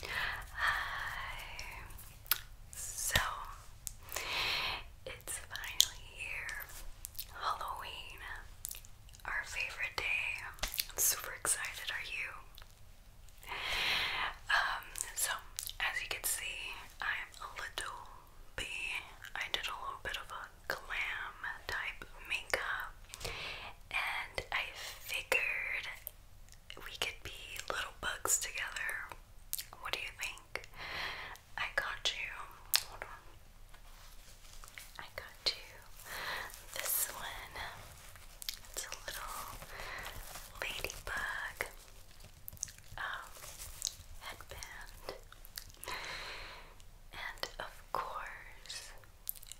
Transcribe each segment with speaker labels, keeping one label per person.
Speaker 1: Hi. So it's finally here. Halloween. Our favorite day. I'm super excited, are you? Um, so as you can see, I'm a little I did a little bit of a glam type makeup and I figured we could be little bugs together. What do you think? I got you. I got you. This one. It's a little ladybug um, headband. And of course,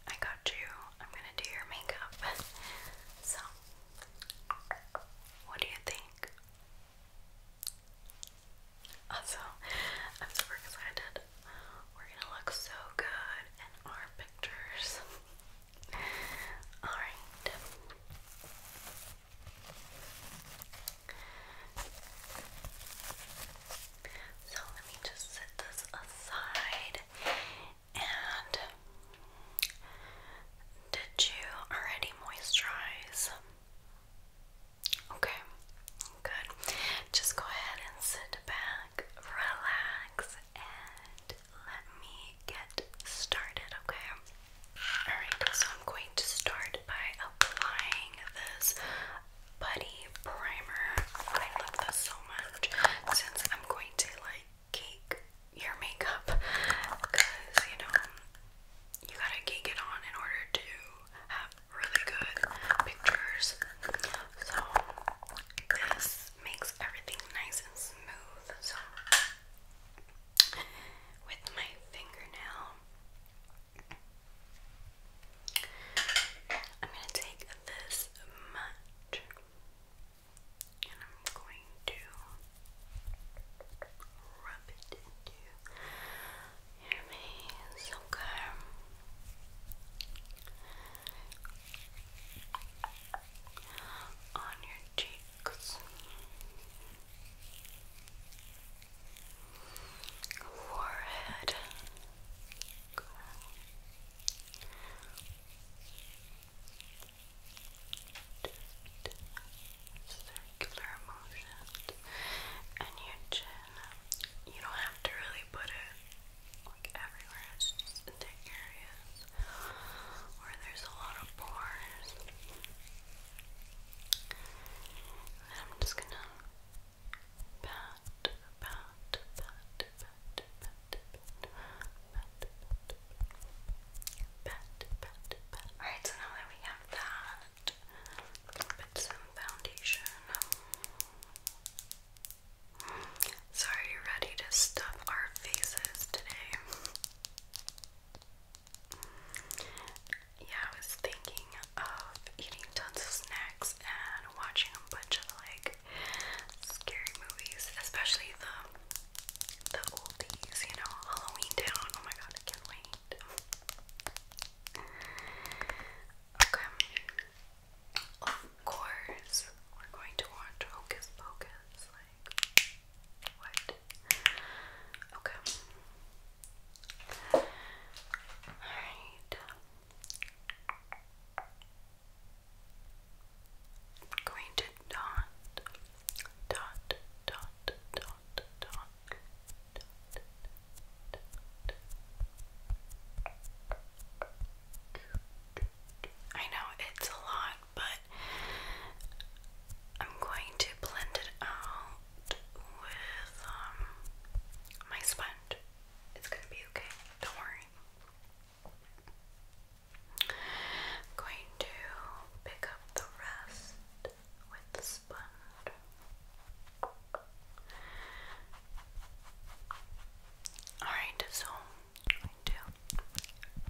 Speaker 1: I got you. I'm gonna do your makeup. So what do you think? Also, I'm super excited. We're gonna look so good in our pictures. Alright. So let me just set this aside and did you already moisturize? Okay, good. Just go ahead and sit back, relax, and let me get started, okay? Alright, so I'm going to start by applying this Buddy Primer. I love this so much since I'm going to like cake your makeup because you know you gotta cake it on in order to have really good pictures. So this makes everything nice and smooth. So with my fingernail. I'm going to take this much and I'm going to rub it into your face, okay? On your cheeks. Forehead just circular motions and your chin. You don't have to really put it like everywhere, it's just in the areas where there's a lot of pores. I'm just gonna pat, pat, pat Alright, so now that we have that, put some foundation. So, are you ready to stuff our faces today? Yeah, I was thinking of eating tons of snacks and watching a bunch of like scary movies, especially the the oldies, you know, Halloween Town. Oh my god, I can't wait. okay. Of course, we're going to watch Hocus Pocus. Like, what? Okay. Alright going to dot, dot, dot, dot, dot, dot. I know it's a lot, but I'm going to blend it out with um, my sponge. It's gonna be okay, don't worry. I'm going to pick up the rest with the sponge. Alright, so going to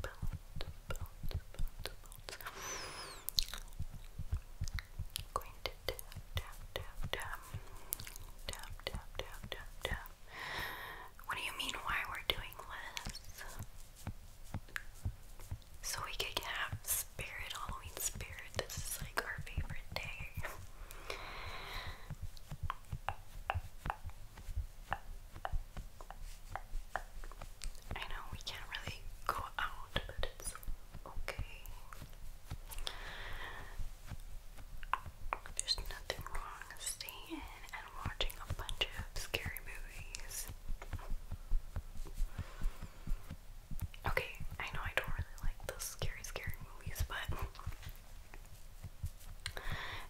Speaker 1: bounce, bounce, bounce, bounce. going to tap, tap, tap, tap, tap, tap, tap, tap, tap, what do you mean why we're doing this? So we could have spirit, Halloween spirit. This is like our favorite day. I know we can't really go out, but it's okay. There's nothing wrong with staying and watching a bunch of scary movies. Okay, I know I don't really like those scary, scary movies, but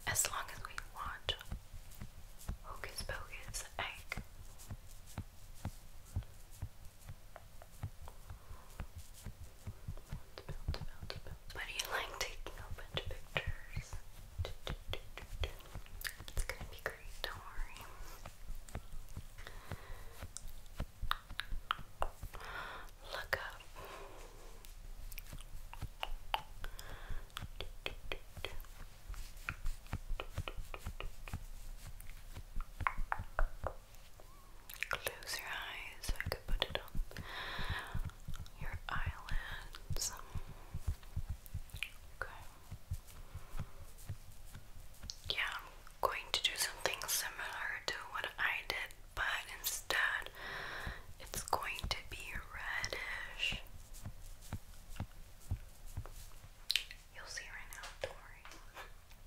Speaker 1: as long as we watch Hocus Pocus, I. But do you like taking a bunch of pictures? It's gonna be great, don't worry. Look up. Close your eyes I could put it on your eyelids. Okay. Yeah, I'm going to do something similar to what I did, but instead it's going to be reddish. You'll see right now, don't worry.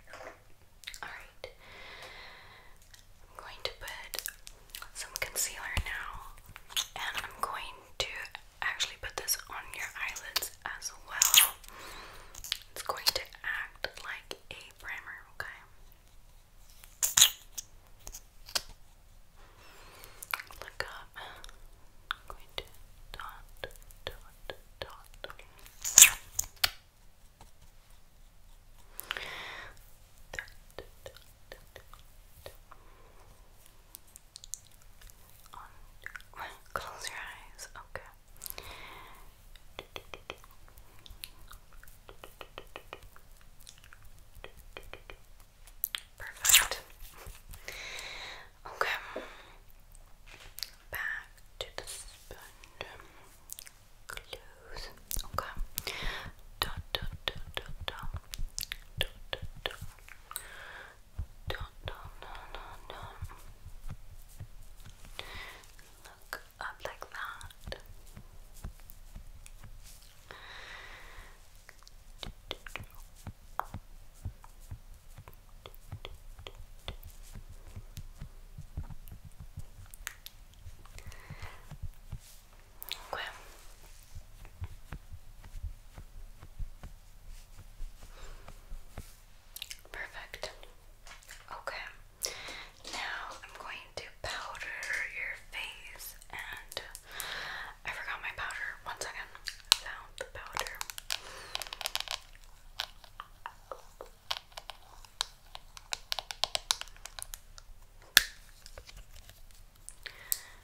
Speaker 1: Alright. I'm going to put some concealer now, and I'm going to actually put this on your eyelids as well. It's going to act like a primer, okay? Look up. I'm going to dot, dot, dot. Dot, dot, Close your eyes. Okay. Perfect. Okay. Back to the sponge. Close. Okay. Dot dot dot dot dot. Don't, do do do do no, no, no. Look up like that. Good. Okay. Perfect. Okay. Now I'm going to powder your face and I forgot my powder. One second. Found the powder.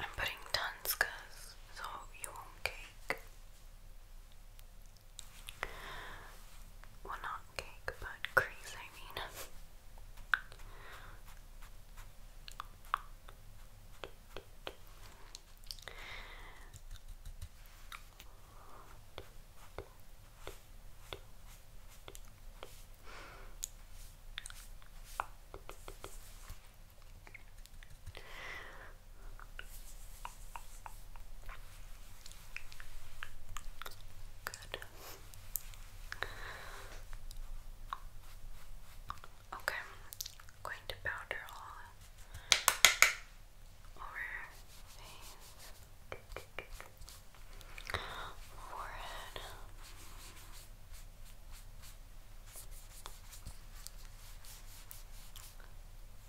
Speaker 1: I'm putting tons cause so you won't cake. Well not cake but crease I mean Good. Okay, I'm going to powder all over face, forehead.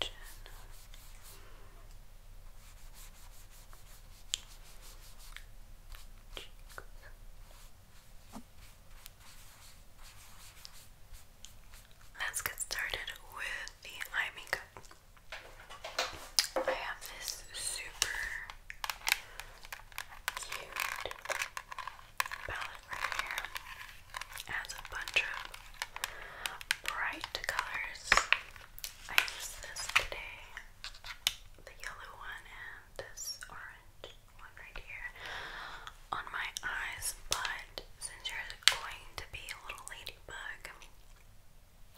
Speaker 1: Chin. Cheeks. Let's get started with the eye makeup. I have this super cute palette right here. It has a bunch of bright colors. I used this today. The yellow one and this orange one right here on my eyes, but since you're going to be a little ladybug,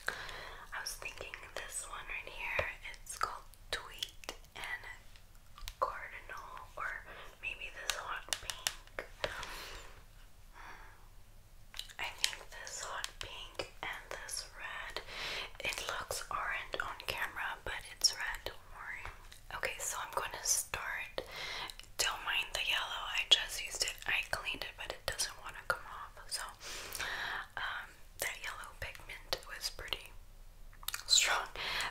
Speaker 1: I was thinking this one right here, it's called Tweet and Cardinal, or maybe this hot pink. Hmm. I think this hot pink and this red, it looks orange on camera, but it's red, don't worry. Okay, so I'm going to start don't mind the yellow. I just used it. I cleaned it, but it doesn't want to come off. So um, that yellow pigment was pretty strong.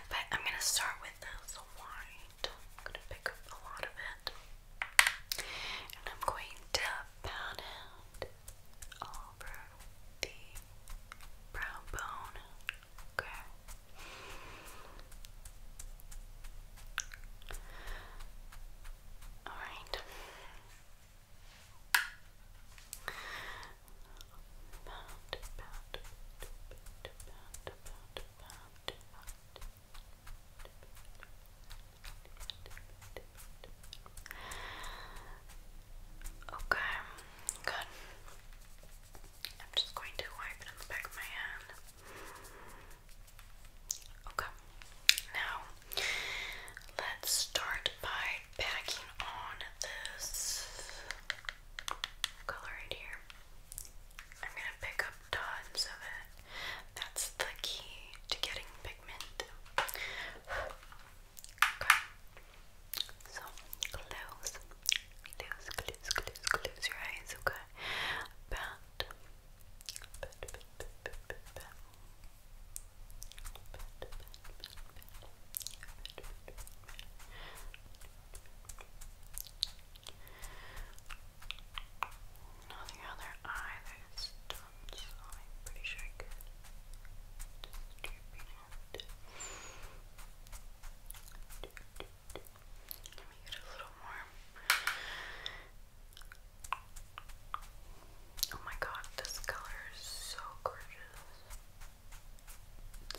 Speaker 1: But I'm gonna start with this white. I'm gonna pick up a lot of it, and I'm going to pat it over the brow bone. Okay. All right. About, Okay, good. I'm just going to wipe it on the back of my hand. Okay, now let's start by packing on this color right here. I'm gonna pick up tons of it. That's the key to getting pigment. Okay. So close, close, close, close, close your eyes, okay? About now the other eye I'm pretty sure I could let me get a little more. Oh my god, this color is so gorgeous.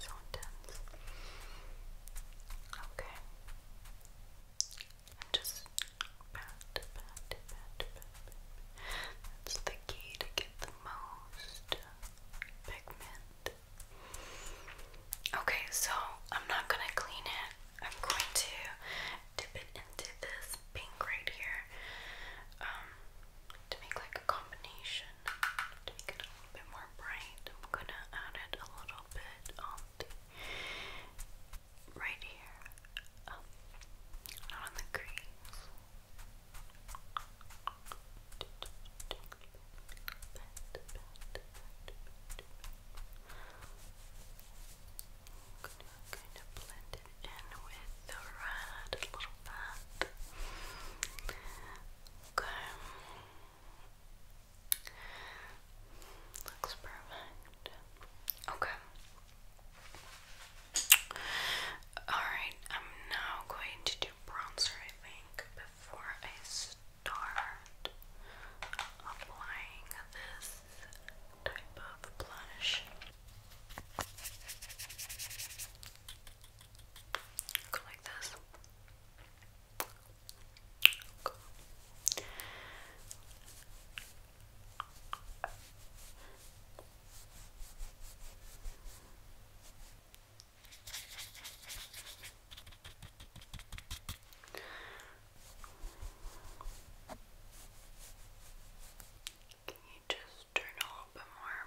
Speaker 1: so intense. Okay. just pat, pat, pat, pat, pat. That's the key to get the most pigment. Okay, so I'm not gonna clean it. I'm going to dip it into this pink right here to make like a combination make it a little bit more bright. I'm gonna add it a little bit on the right here, not on the crease. I'm going to blend it in with the red little bit. Okay. Looks perfect. Okay. Alright, I'm now going to do bronzer, I think, before I start applying this type of blush. like this. Can you just turn a little bit more?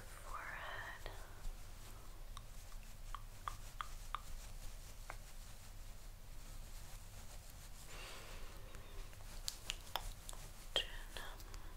Speaker 1: forehead. Chin.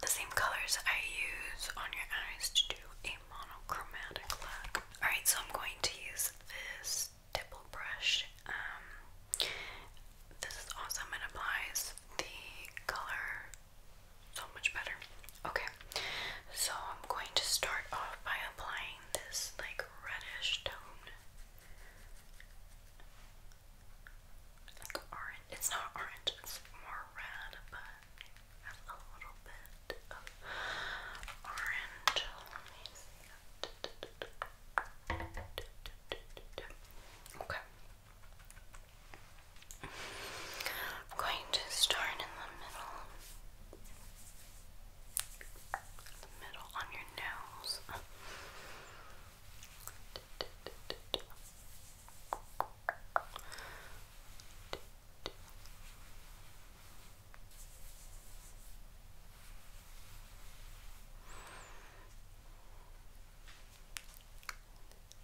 Speaker 1: the same colors I use on your eyes to do a monochromatic look. Alright, so I'm going to use this tipple brush. Um, this is awesome, it applies the color so much better. Okay, so I'm going to start off by applying this like reddish tone. Like orange. It's not orange, it's more red, but a little bit of orange. Let me see. Okay. I'm going to start in the middle. The middle on your nose.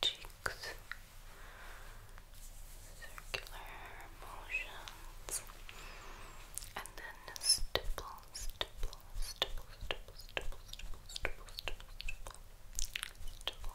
Speaker 1: Cheeks, circular motions, and then stipple, stipple, stipple, stipple, stipple, stipple, stipple, stipple, stipple,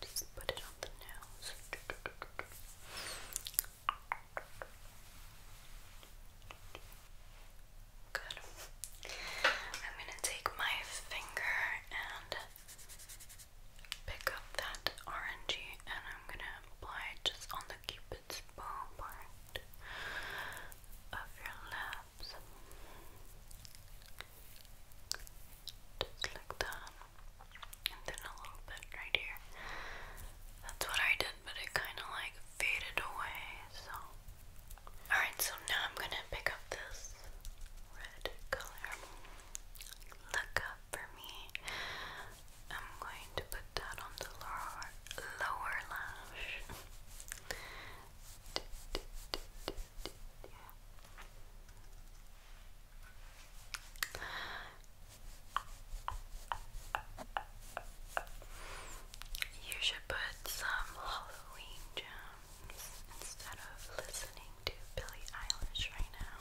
Speaker 1: Just put it on the nose. Good. I'm gonna take my finger and pick up that orangey and I'm gonna apply it just on the cupid's bow part of your lip. Just like that. And then a little bit right here. That's what I did, but it kind of like faded away, so. Alright, so now I'm gonna pick up this red color. Look up for me. I'm going to put that on the lower, lower lash. You should put some Halloween gems instead of listening to Billie Eilish right now.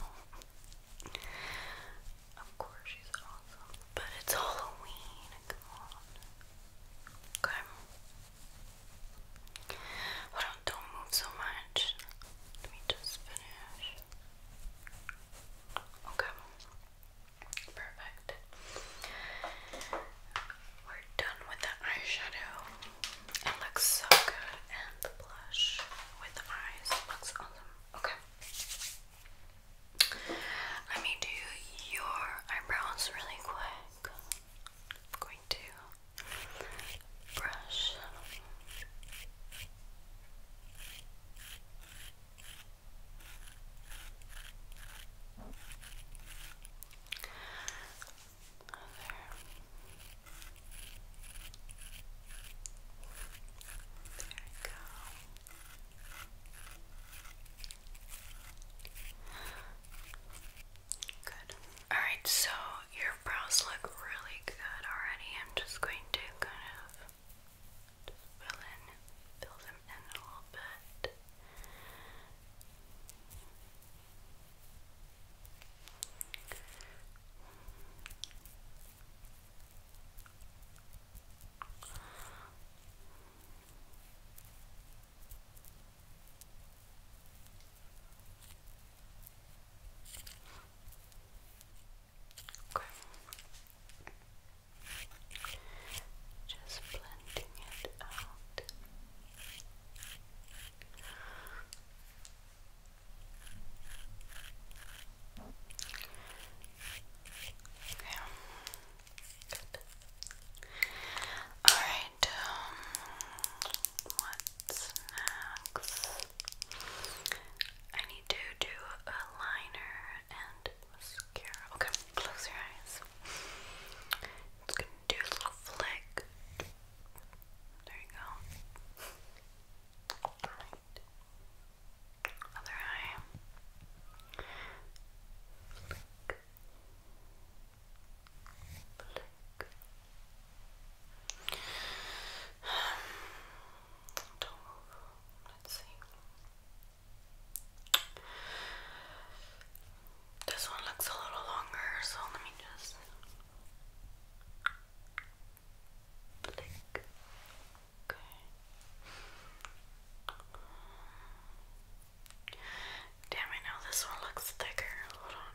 Speaker 1: Of course, she's awesome, but it's Halloween. Okay don't move so much. Let me just finish. Okay. Perfect. We're done with the eyeshadow. It looks so good. And the blush with the eyes looks awesome. Okay. Let me do your eyebrows really quick. I'm going to brush. There. there we go. Good. Alright, so your brows look really good already. I'm just going to kind of fill in, fill them in a little bit. Okay. Just blending it out. Okay. Good. All right. Um, What's next? I need to do a liner and mascara. Okay, close your eyes. It's gonna do a little flick. There you go. Other eye. Let's see. This one looks a little longer, so let me just Damn, I know this one looks thicker. Hold on.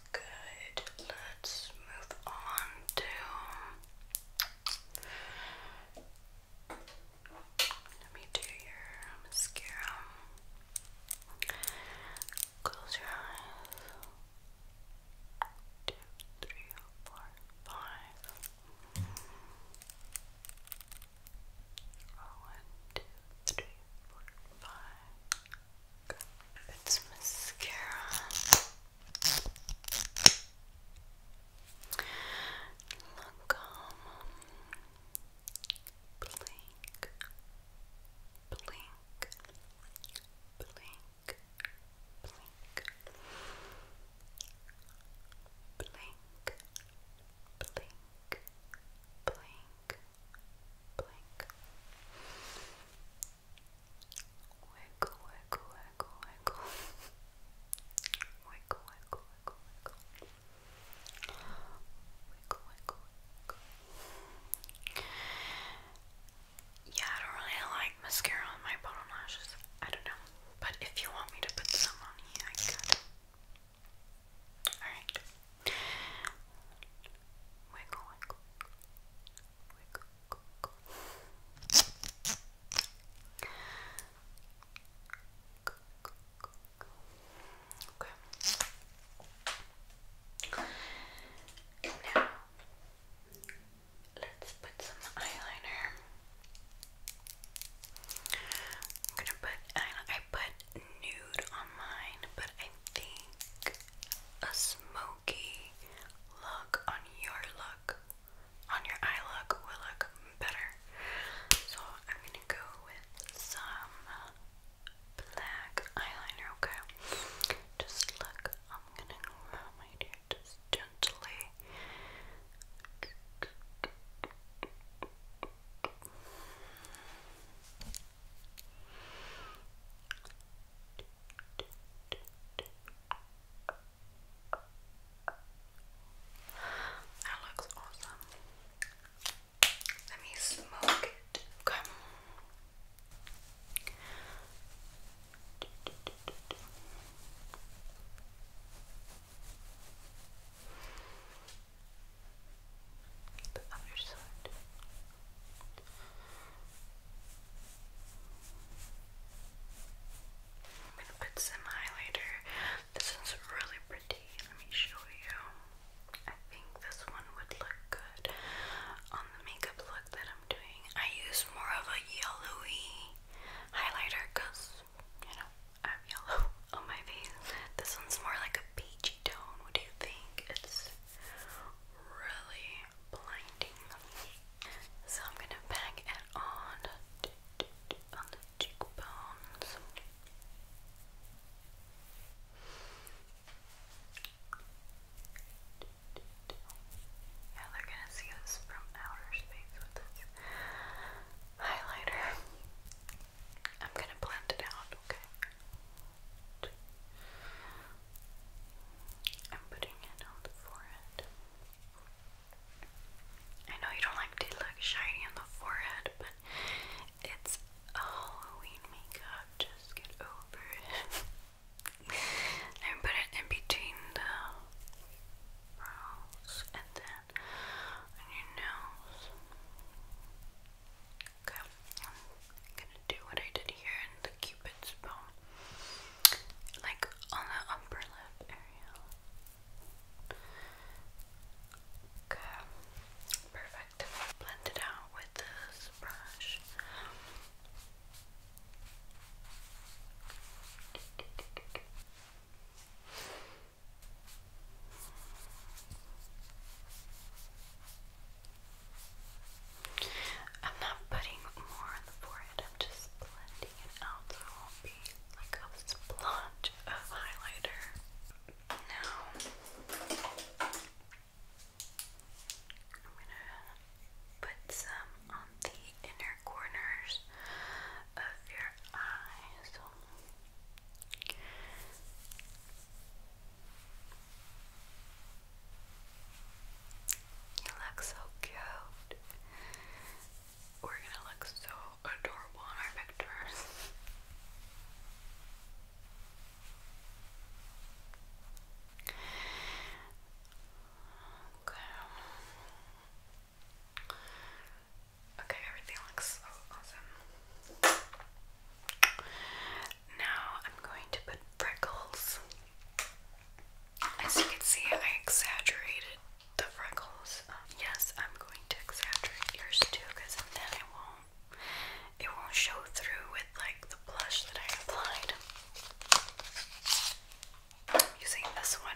Speaker 1: good. Let's move on to let me do your mascara. Close your eyes. Two, three, four, five. Oh, one, two, three, four, five. It's mascara. Lancome. Blink. Blink. Blink. Blink. Blink. Blink. Blink. Blink. Wiggle, Yeah, I don't really like mascara on my bottom lashes. I don't know. But if you want me to put some on I could. Alright. Okay. Now let's put some eyeliner. I'm gonna put I put nude on mine, but I think a smoky smoky look on your look, on your eye look, will look better. So I'm gonna go with some black eyeliner, okay? Just look, I'm gonna grab my dear, just gently. Just that looks awesome. Let me smoke it. Come. The other side. I'm gonna put some highlighter. This one's really pretty. Let me show you. I think this one would look good on the makeup look that I'm doing. I use more of a yellowy highlighter because, you know, I have yellow on my face. This one's more like a peachy tone. What do you think? It's really blinding. So I'm gonna pack it on on the cheekbones. Yeah, they're gonna see us from outer space with this highlighter. I'm gonna blend it out, okay? I'm putting it on the forehead. I know you don't like to look shiny on the forehead, but it's a Halloween makeup. Just get over it. and put it in between the brows and then on your nose. Okay, I'm gonna do what I did here in the cupid's bow. Like on the upper lip area. Okay, perfect. Blend it out with this brush. I'm not putting more on the forehead, I'm just blending it out so it won't be like a splotch of highlighter. Now, I'm gonna put some on the inner corners of your eyes. You look so cute. We're gonna look so adorable in our pictures. Okay. Okay, everything looks so awesome now I'm going to put freckles. As you can see, I exaggerated the freckles. Um, yes, I'm going to exaggerate yours too, because then it won't it won't show through with like the blush that I applied. using this one.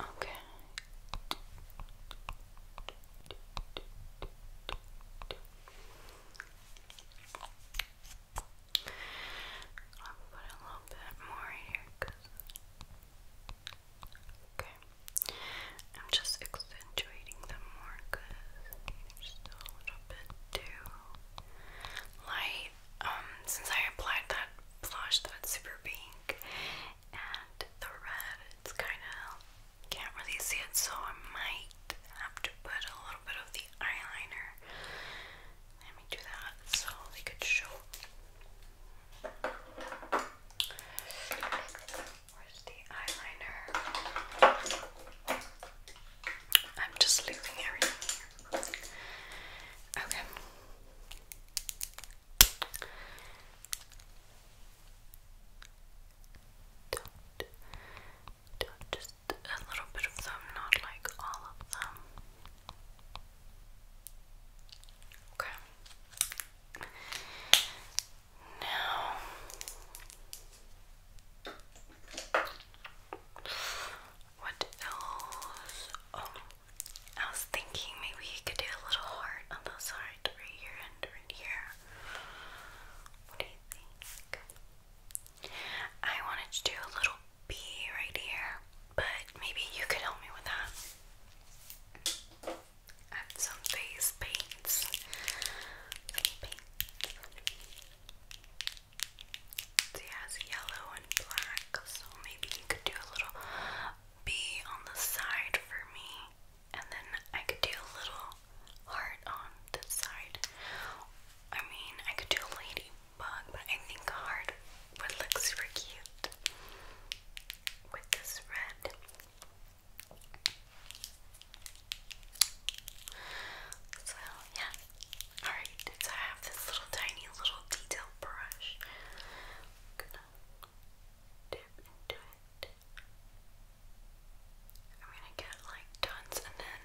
Speaker 1: Okay. I'll put a little bit more here okay. I'm just accentuating them more because they still a little bit too light. Um, since I applied that blush that's super pink, and the red, it's kind of, can't really see it, so I might have to put a little bit of the eyeliner. Let me do that so they could show. Where's the eyeliner? I'm just leaving everything Okay. Don't, just a little bit of them, not like all of them. Okay. Now. What else? Oh, I was thinking maybe you could do a little heart on the side right here and right here. What do you think? I wanted to do a little bee right here, but maybe you could help me with that. I some face paints. Some yellow and black, so maybe you could do a little be on the side for me, and then I could do a little heart on this side. I mean, I could do a ladybug, but I think a heart would look super cute with this red. So, yeah. Alright, so I have this little tiny little detail brush. I'm gonna get like tons and then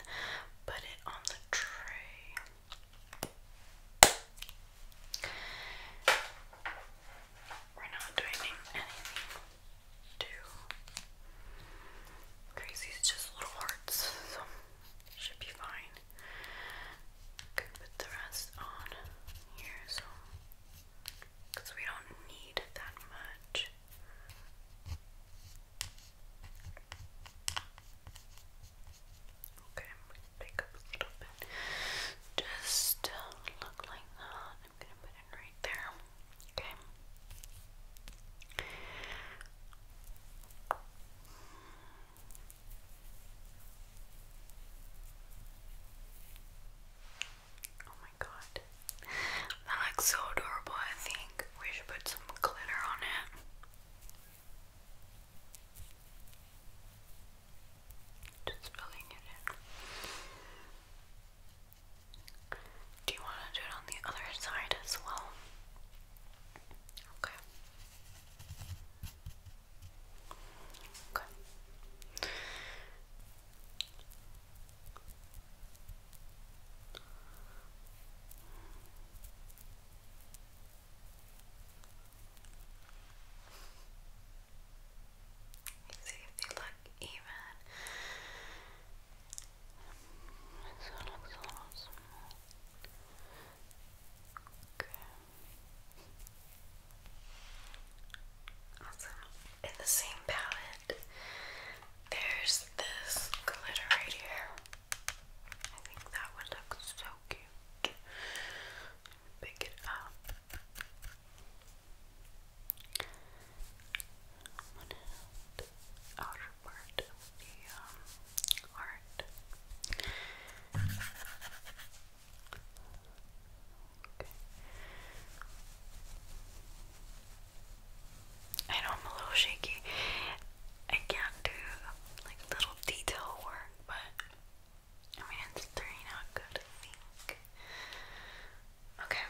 Speaker 1: put it on the tray. We're not doing anything too crazy, it's just little hearts, so should be fine. Could put the rest on here so because we don't need that much. Okay, I'm Just uh, look like that. I'm gonna put it right there. Okay. Oh my god. That looks so adorable. I think we should put some glitter on it. Just filling it in. Do you want to do it on the other side as well? Okay. Okay. See if they look even. This one looks a little small. Okay. Awesome. In the same palette, there's this glitter right here. I think that one looks so cute. Pick it up. outer part of the um, I know I'm a little shaky. I can't do like little detail work, but I mean it's turning good, Okay.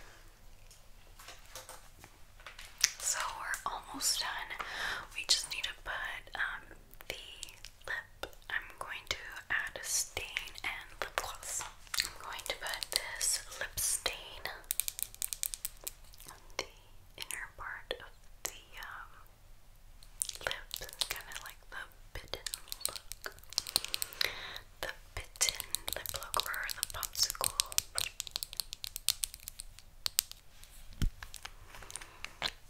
Speaker 1: So we're almost done. We just need to put um the I'm going to add a stain and lip gloss. I'm going to put this lip stain on the inner part of the um, kind of like the bitten look. The bitten lip look or the popsicle.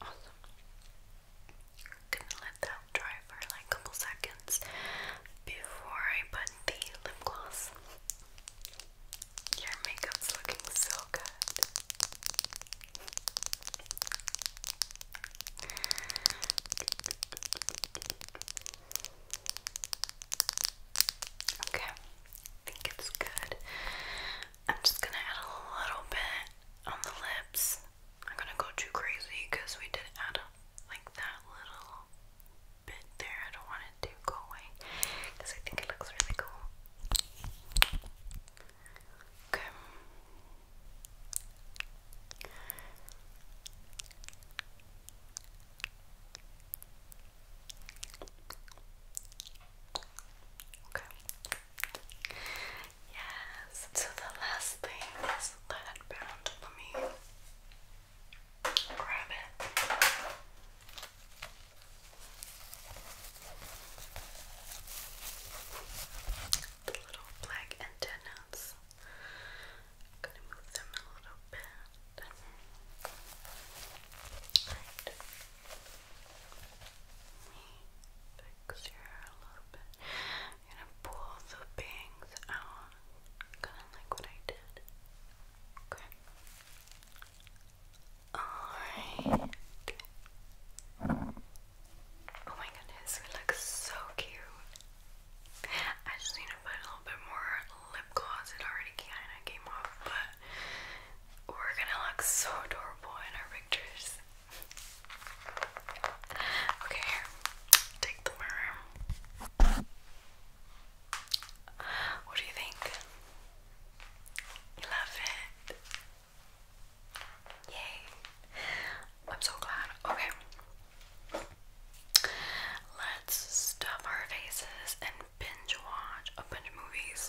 Speaker 1: Awesome. Gonna let that dry for like a couple seconds before I put the lip gloss. Your makeup's looking so good. Okay, I think it's good. I'm just gonna add a little bit on the lips. I'm gonna go too crazy because we did add a, like that little bit there. I don't want it to go away because I think it looks really cool. Okay. Okay. Yes, so the last thing is lead bound. Let me grab it. The little black antennas. gonna move them a little bit fix your hair a little bit. gonna pull the bangs out, kind of like what I did. Okay. Alright. Oh my goodness, we look so cute. I just need to put a little bit more lip gloss. It already kind of came off, but we're gonna look so adorable in our pictures. Okay, here. Take the mirror. What do you think? You love it. Yay. I'm so glad. Okay. Let's stuff our faces and binge watch a bunch of movies.